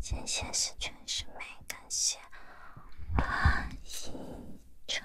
前谢十全是美，感谢王一晨。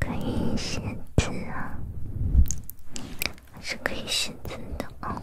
可以写字啊，是可以写字的啊。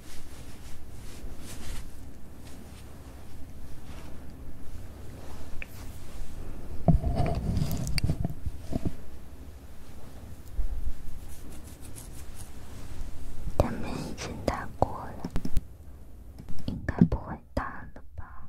他们已经打过了，应该不会打了吧？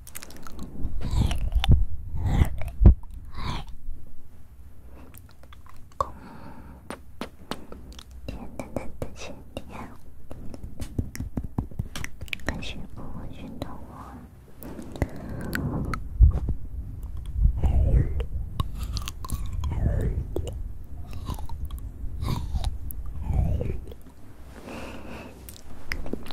简单的线条，还是不运动我。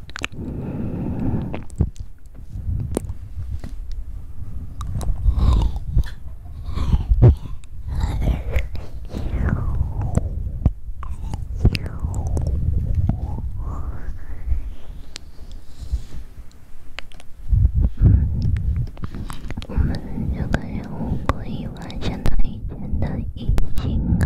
我们这个任务可以完成的，以前的已经够。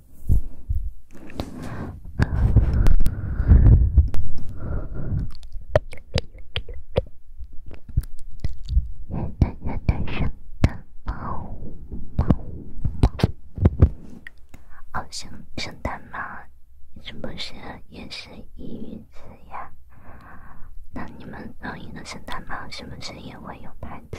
元旦元旦圣诞帽帽帽，好像圣诞帽是不是也是英语词呀？那你们同一个圣诞帽是不是也会有牌子？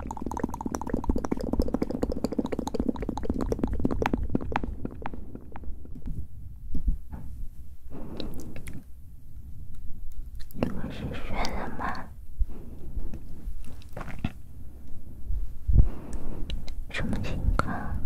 你们是学生吗？什么情况？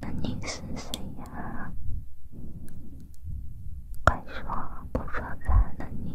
那你是谁呀？快说，不说烦了你。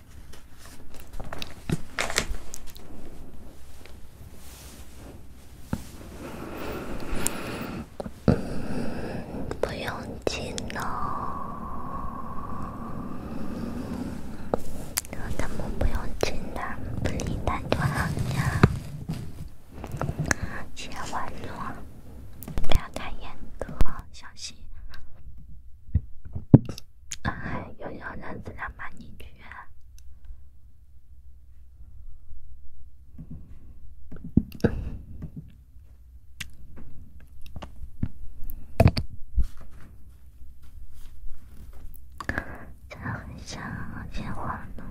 嗯，不用紧了，咱们不用紧的，不理难就好了。接完了，不要太严格，小心。哎，优秀男子让妈你去，真的很想见我呢。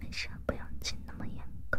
没事，不用进那么严格。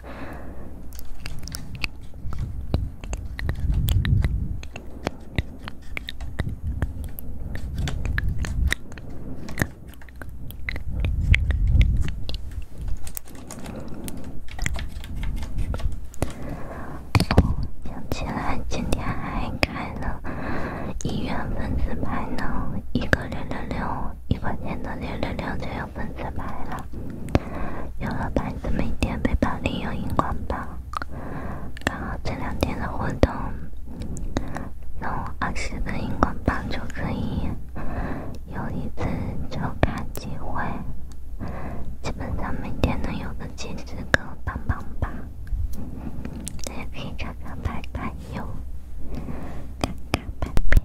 哦，想起来今天还开了一月份自拍呢，一个六六六，一块钱的六六六对。粉丝牌了，有了牌子每天背包里有荧光棒，刚好这两天的活动弄二十个荧光棒就可以有一次抽卡机会，基本上每天能有个几十个棒棒吧，也可以尝尝牌牌哟，看看牌牌。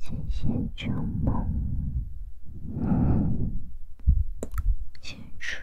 谢谢秋梦，青春。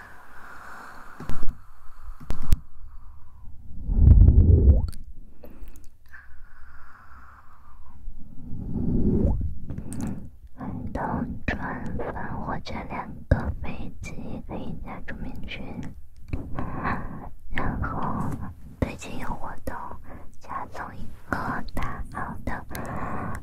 活动转发或者两个飞机可以加助眠群，然后飞机有活动加送一个大号的。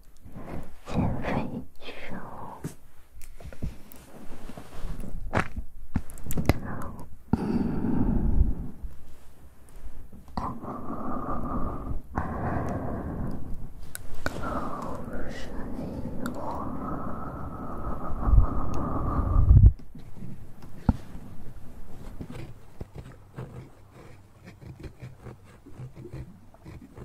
减肥瘦，喝水。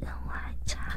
任务还差。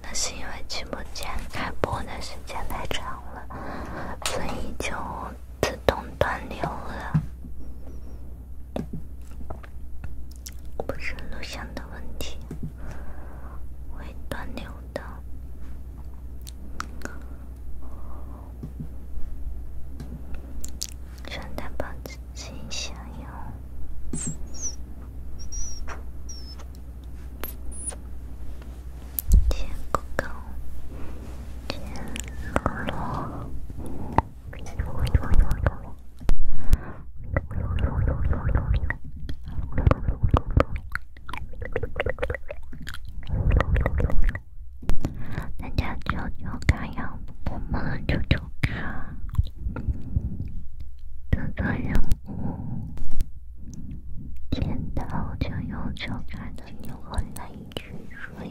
那是因为直播间开播的时间太长了，所以就自动断流了。不是录像的问题，会断流的。穿戴保持新鲜哟，大家就要干要不么就就干，这个任务，见到就要就干的，就很难入睡。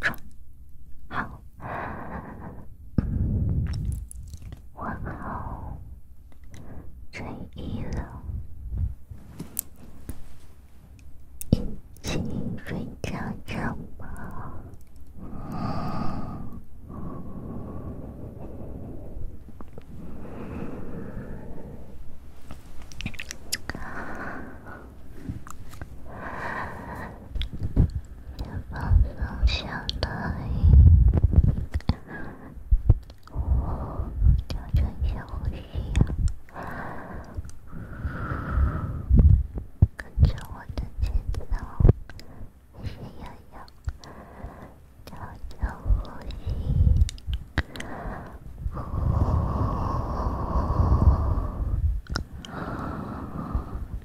好，我好睡意了，一起睡着着吧。放松下来，哦，调整呼吸，跟着我的节奏，吸呀吸，调整呼吸，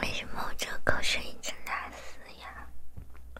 为什么我这个声音这么大？呀？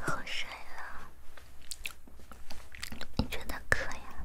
喝水了，你觉得渴呀？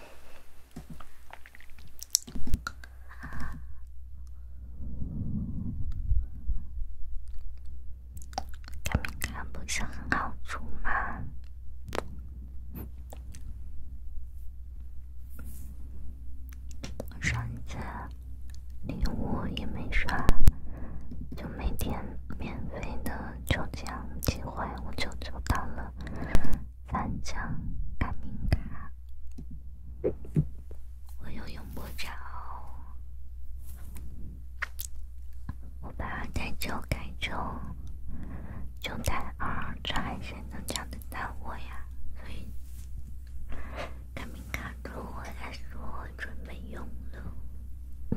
看，没看不是很好出吗？上一次礼物也没刷，就每天免费的。中奖机会我就做到了，三张改名卡我又用不着，我把它代九改成就代二，这还能叫得到我呀？所以改名卡对我来说真没用了。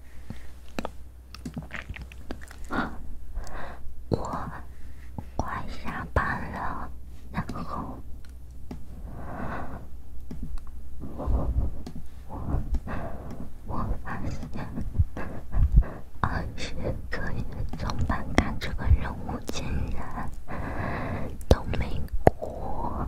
我快下班了，然后我我我发现二十个送板卡这个任务竟然都没过。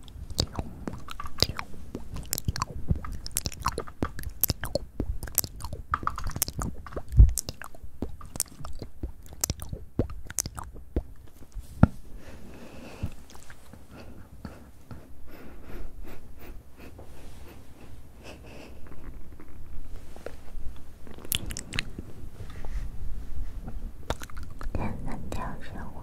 两三条小鱼。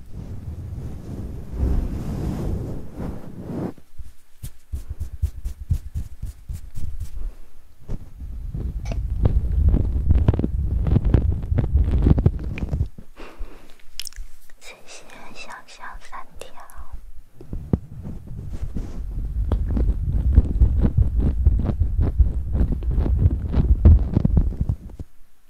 这些小小三条。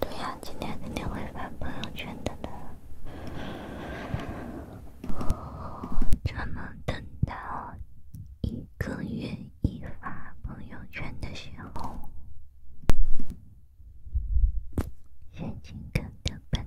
对呀，今天肯定会发朋友圈的呢。只能等到一个月一发朋友圈的时候，心情更的本。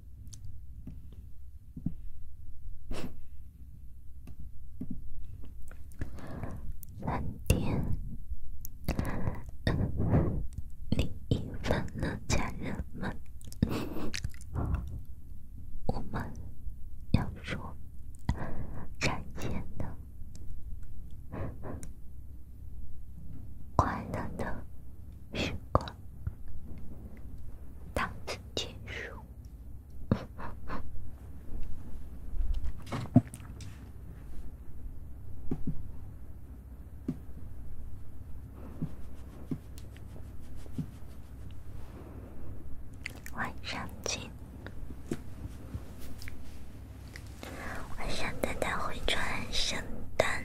三点零一分了，家人们，我们要说再见的快乐的时光。到此结束。晚上见。晚上，带他回转圣诞。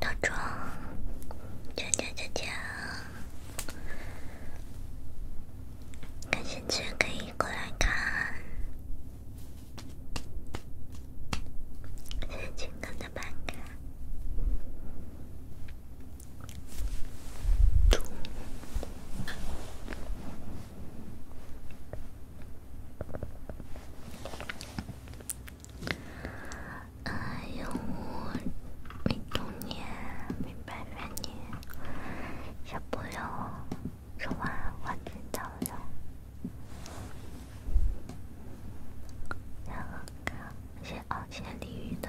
套装，讲讲讲讲，感兴趣的可以过来看，先请跟着办看。哎呦，未成年，明白少年，小朋友，说完玩具到了，然后先啊，先淋雨的。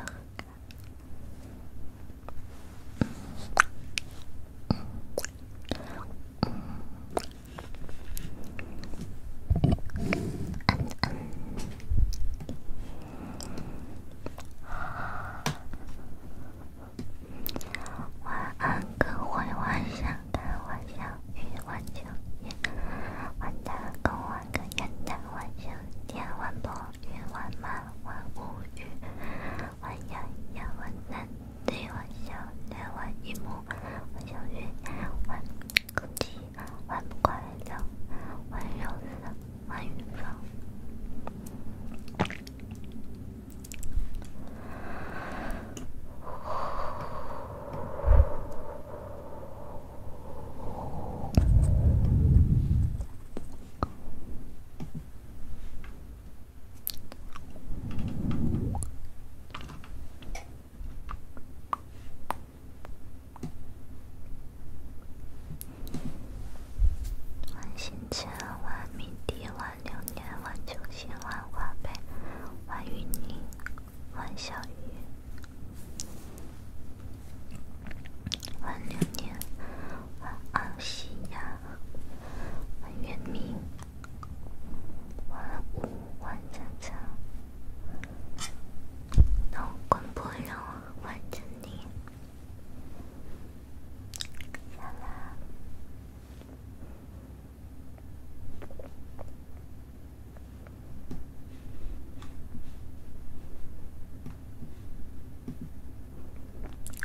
晚安，各怀万象，看万象，遇万象，念万难，共万个元旦，万象天，万朵云，万马万无语，万洋洋，万在玩笑，在玩阴谋，在玩虐，在玩科技，在玩快乐，在玩肉丝，在玩远方。万新成，万明迪，万刘念，万秋心，万华北，万云宁，万小雨，晚流年，晚奥西娅，晚月明。万物万苍苍，乐观不忧，万顺利。啥啦？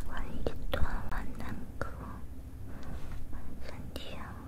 万事多万难苦，身体好。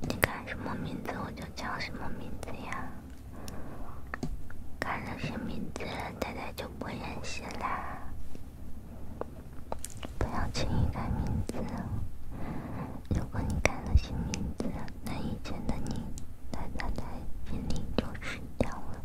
你改什么名字我就叫什么名字呀？改了新名字，太太就不认识啦。不要轻易改名字，如果你改了新名字，那以前的你，在太在心里就是掉了。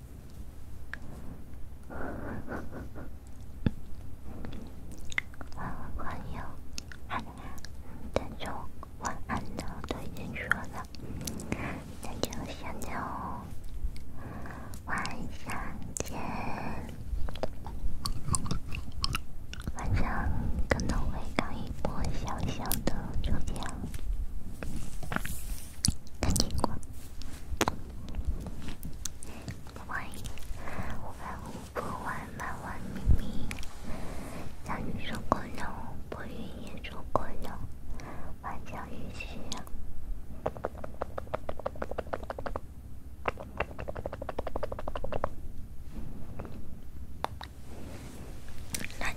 欢迎，好，那就晚安了，都已经说了，那就先聊，晚上见。晚上可能会搞一波小小的抽奖。看见过，欢迎，我爱五不玩，慢慢迷迷，下雨说过了，暴雨也说过了，晚叫雨需要。来。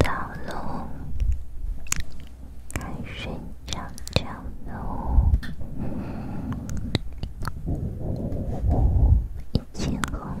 恐龙，爱睡觉，恐龙